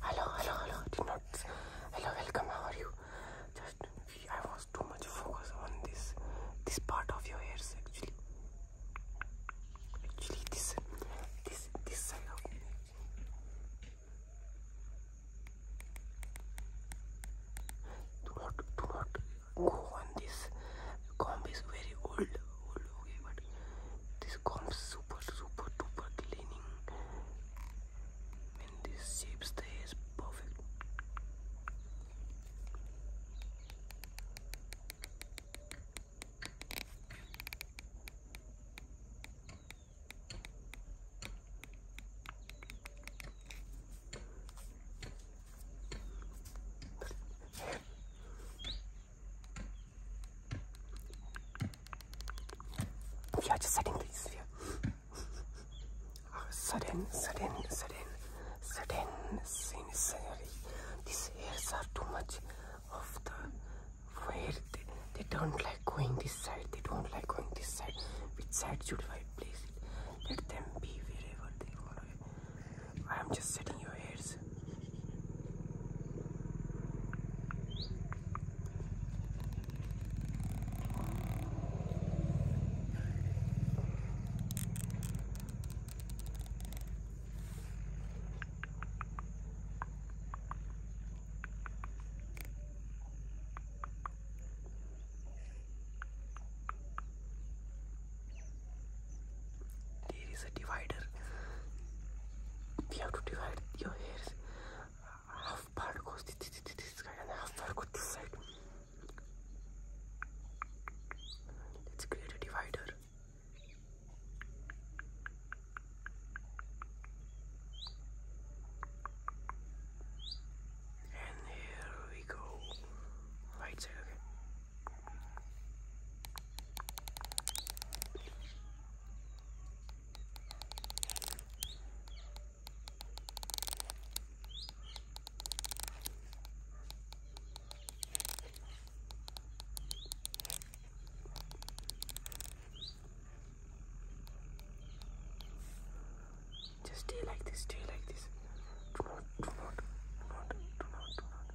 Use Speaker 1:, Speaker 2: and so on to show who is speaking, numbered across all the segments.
Speaker 1: Hello, hello, hello, did not. Hello, welcome. How are you? Just I was too much focused on this this part of your hairs actually. Actually, this this this side Do not, do not go on this comb is very old, old okay but this comb super super super cleaning and this shape stays perfect we just setting these here. Uh, ah, sudden, sudden, sudden, sudden sincerity. These hairs are too much of the where they, they don't like going this side. They don't like going this side. Which side should I place it? Let them be wherever they want to be. I am just setting your ears there is a divider we have to divide your hairs half part goes this, side and half part goes this side let's create a divider and here we go right side just stay like this, stay like this. Do not, do not, do not, do not, do not.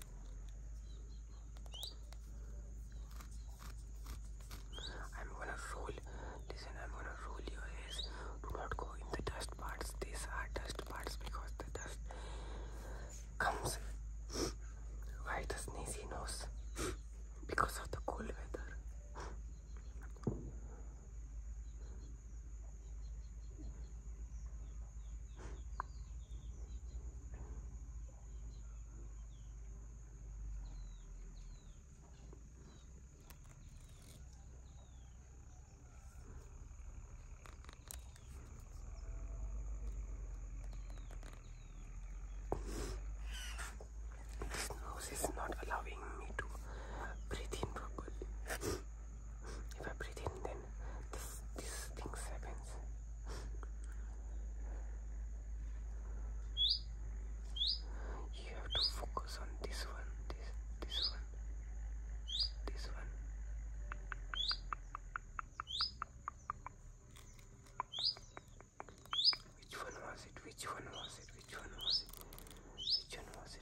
Speaker 1: I'm gonna roll. Listen, I'm gonna roll your hairs. Do not go in the dust parts. These are dust parts because the dust comes by the sneezy nose because of the cold weather. This nose is not allowing me to breathe in properly. if I breathe in, then this this thing happens you have to focus on this one this this one this one which one was it which one was it which one was it which one was it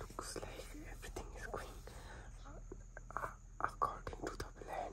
Speaker 1: Looks like everything is going uh, uh, according to the plan.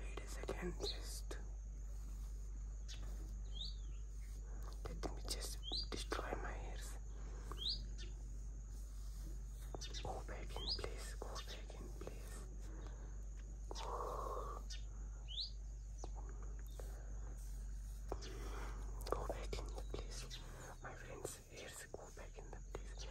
Speaker 1: Wait a second, just let me just destroy my ears. Go back in place, go back in place. Go. back in the place. My friends, ears go back in the place.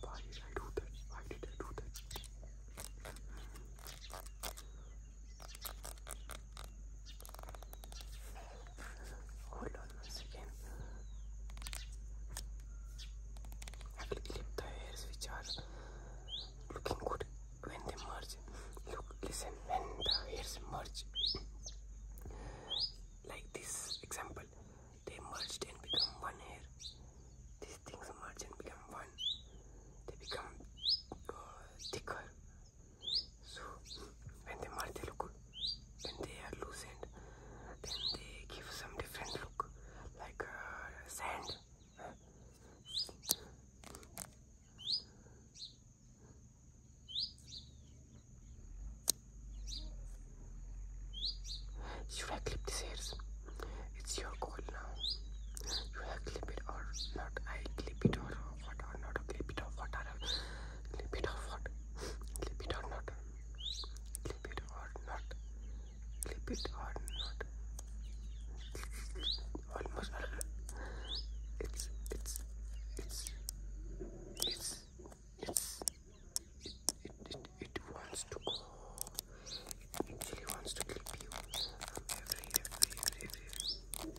Speaker 1: Why did I do that? Why did I do that? Hold on one second. I clip the hairs which are looking good when they merge. Look, listen, when the hairs merge, like this example they merged and become one here. these things merge and become one they become uh, thicker so when they merge they look good when they are loose and then they give some different look like uh, sand you have clipped his hairs. It's your call now. You have clipped it or not. I clip it or what or not. Clip it or what or clip it or what. Clip it or not. Clip it or not. Clip it or not. Almost. It's it's it's it's it's it, it, it, wants to go it actually wants to clip you every every every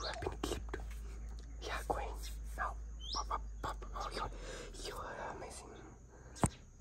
Speaker 1: You have been clipped. Yeah, Queen. Now, pop, pop, pop. Oh, you you're amazing.